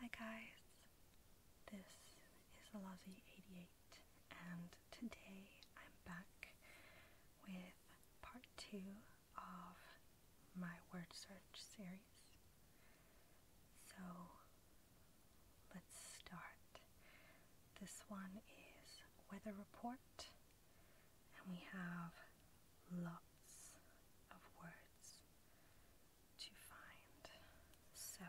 Hi guys, this is Alazi88 and today I'm back with part 2 of my word search series. So let's start. This one is weather report and we have lots of words to find. So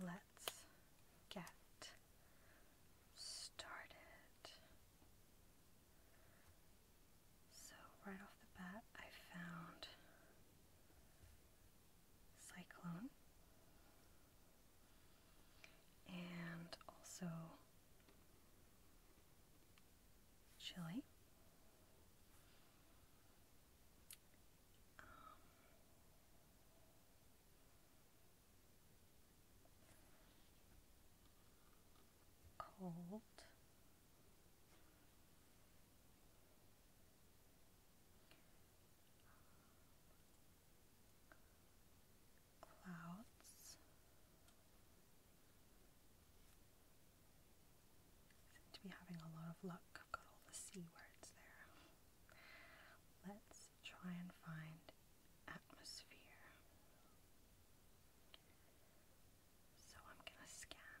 let's get started. So, right off the bat, I found Cyclone and also chili. Um, cold clouds seem to be having a lot of luck. Let's try and find atmosphere. So I'm going to scan.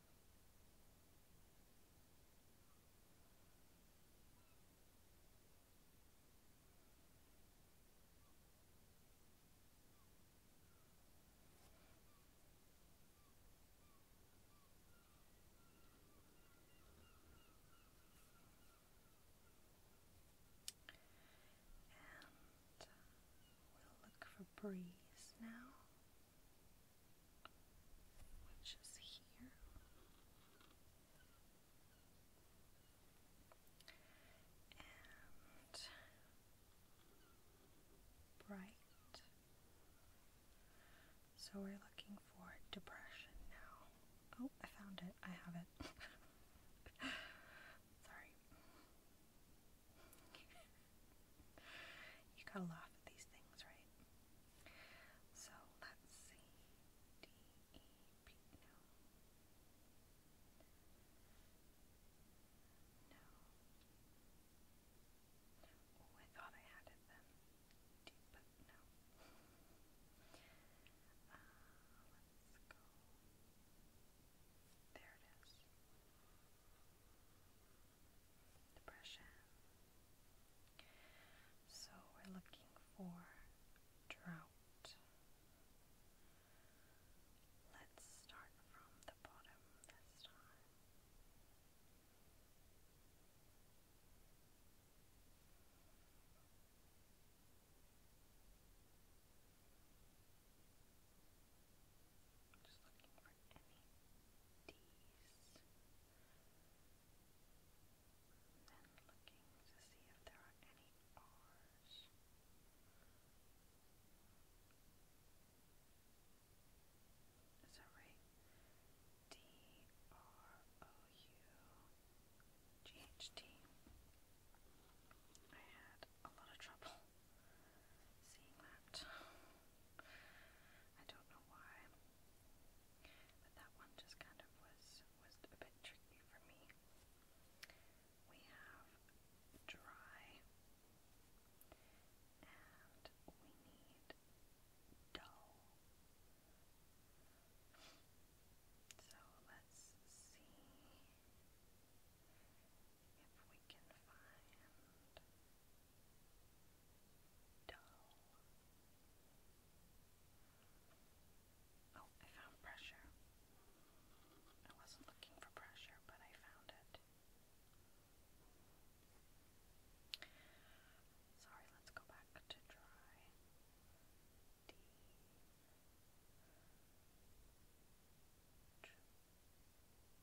And we'll look for breeze now which is here. And bright. So we're looking for depression now. Oh, I found it. I have it. Sorry you gotta laugh at these things, right? So let's see. no. Oh, I thought I added them. no. Uh, let's go. There it is depression. So we're looking for drought. Let's start from the bottom this time. Just looking for any D's. Then looking to see if there are any R's. Is that right? D R O U G H T. I had a lot of trouble seeing that. I don't know why, but that one just kind of was was a bit tricky for me. We have dry, and we need dull. So let's see if we can find dull. Oh, I found pressure. I wasn't looking for pressure, but I found it. Sorry, let's go back to dry. D.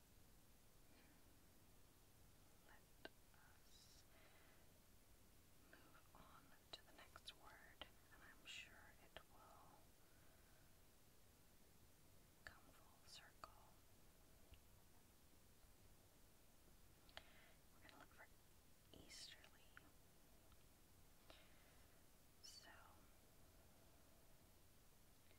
Let us move on to the next word, and I'm sure it will come full circle. We're going to look for easterly. So,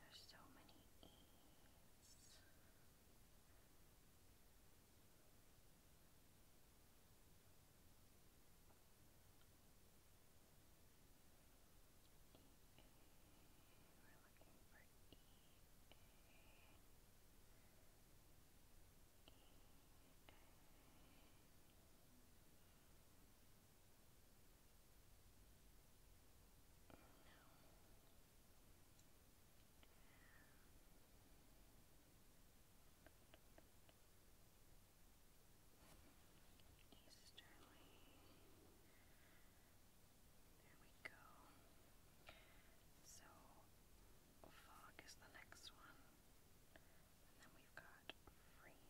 There's so many E's. E-A. We're looking for E-A. E-A. E-A. Easterly. There we go. So, fog is the next one. And then we've got freezing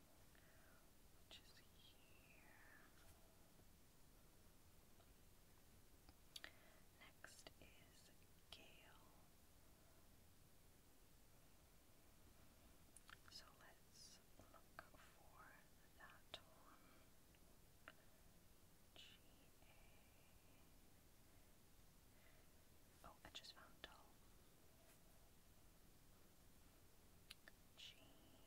which is here. Next is Gale. So let's look for that one. G A. Oh, I just found dull. G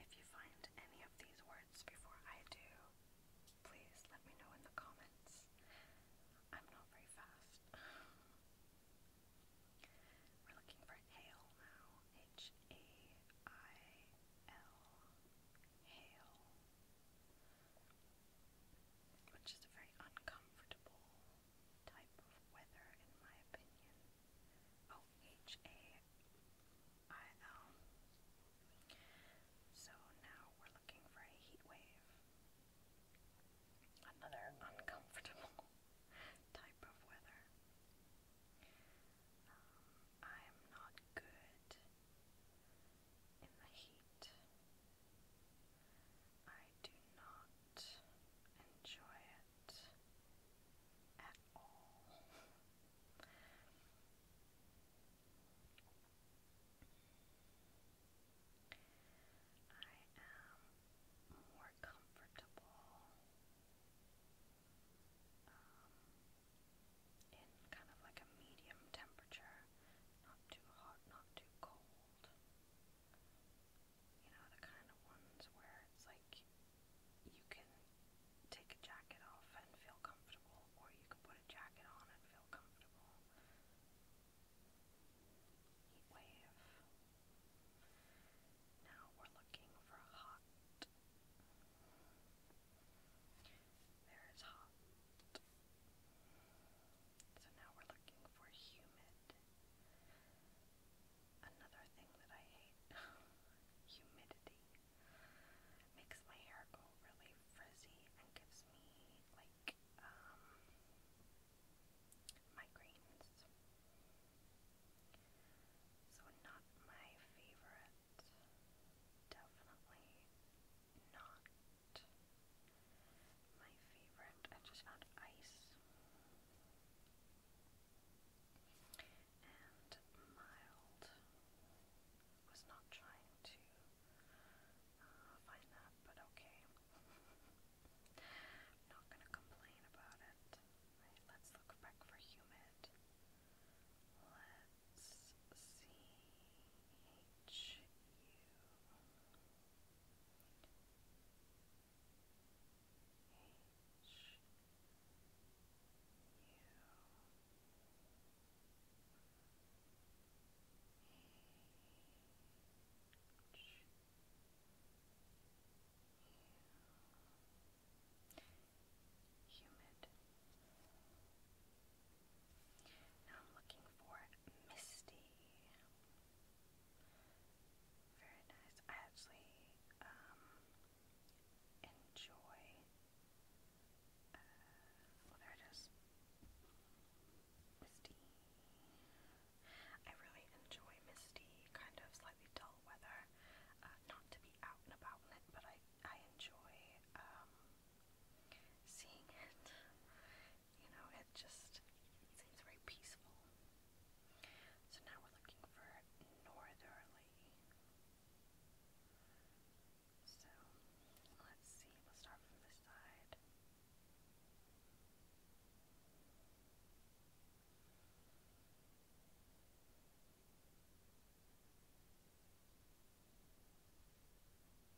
If you find any of these words before I do, please let me know in the comments. I'm not very fast. We're looking for hail now. H A I L. Hail which is a very uncomfortable type of weather, in my opinion. O H A I L. So now we're looking for a heat wave. Another uncomfortable type of weather. Um, I am not good in the heat. I do not enjoy it at all. I am more comfortable um, in kind of like a medium temperature, not too hot, not too cold. You know, the kind of ones where it's like you can take a jacket off and feel comfortable, or you can put a jacket on and feel comfortable. Heat wave. Now we're looking for hot. There is hot. So now we're looking for humid. Another thing that I hate humidity makes my hair go really frizzy and gives me like um, migraines. So not my favorite. Definitely not my favorite. I just found ice and mild. Was not trying to uh, find that, but okay. not gonna complain about it. let's look back for humid. let C H U H Humid. Humid. Now I'm looking for Misty. Very nice. I actually um, enjoy. Uh, well, there it is. Misty. I really enjoy misty, kind of slightly dull weather. Uh, not to be out and about in it, but I I enjoy um, seeing it. You know, it just it seems very peaceful. So now we're looking for northerly. So let's see, we'll start from this side. Okay,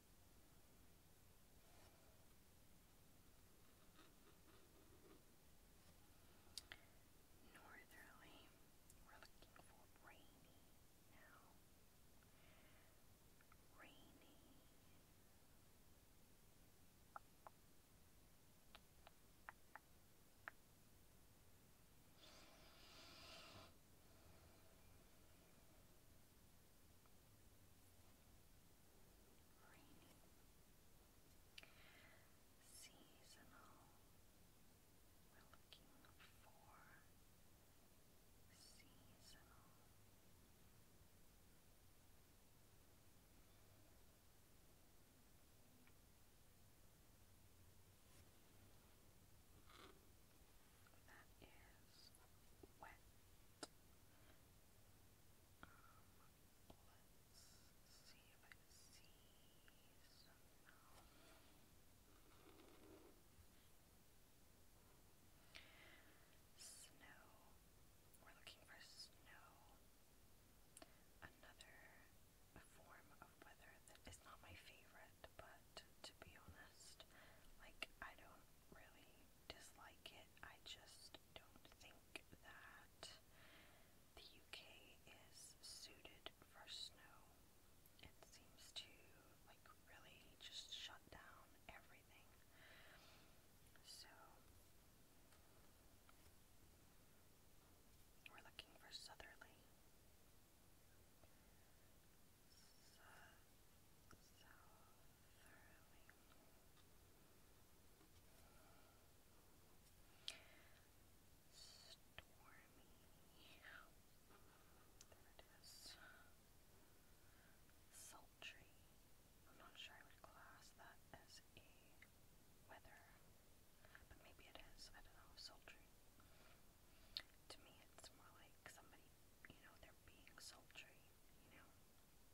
Northerly, we're looking for rainy now. Rainy. Northerly rainy, seasonal. We're looking for seasonal. That is wet. Snow. We're looking for snow. Another form of weather that is not my favorite, but to be honest, like I don't really dislike it. I just don't think that the UK is suited for snow. It seems to like really just shut down everything. So we're looking for southerly. Su south there it is. Sultry. I'm not sure I would class that as a weather, but maybe it is. I don't know. Sultry. To me, it's more like somebody, you know, they're being sultry, you know?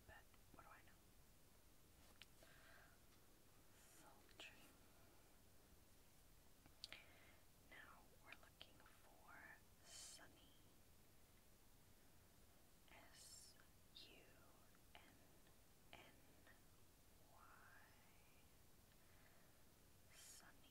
but what Now we're looking for sunny. S U N N Y. Sunny. sunny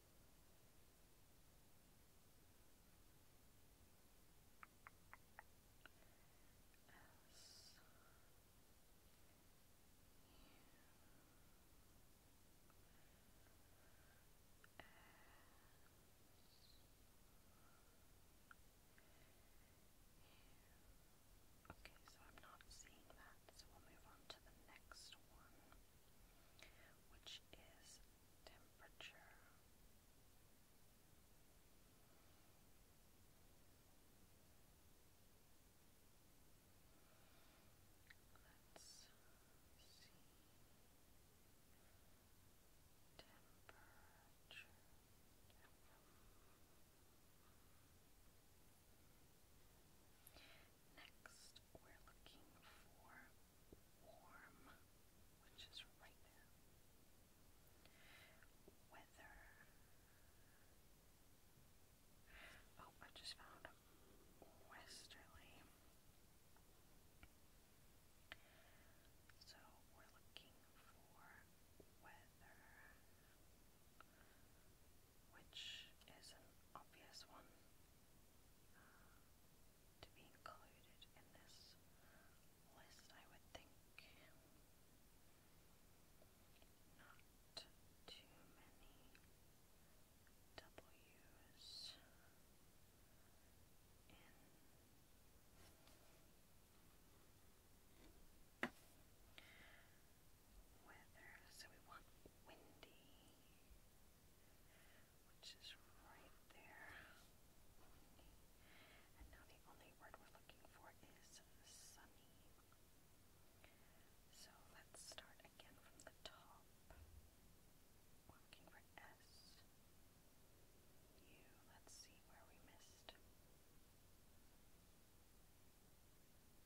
Okay, so I'm not seeing that, so we'll move on to the next one which is temperature. Let's see. Temperature. Next, we're looking for warm, which is right there. Weather. Oh, I just found westerly. So we're looking for weather which is an obvious one uh, to be included in this list, I would think. Not too many W's in weather. So we want windy, which is right there. And now the only word we're looking for is sunny. So let's start again from the top. We're looking for S. U. Let's see where we missed.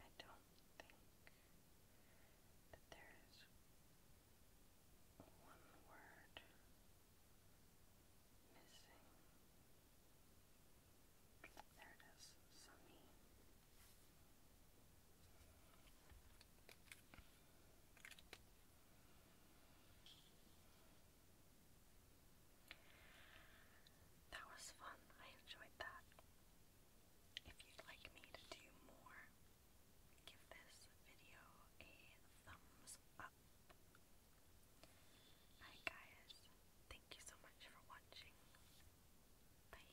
I don't think that there is one word missing. There it is, Sami. That was fun. I enjoyed that. If you'd like me to do more, give this video a thumbs up. Hi guys, thank you so much for watching. Bye.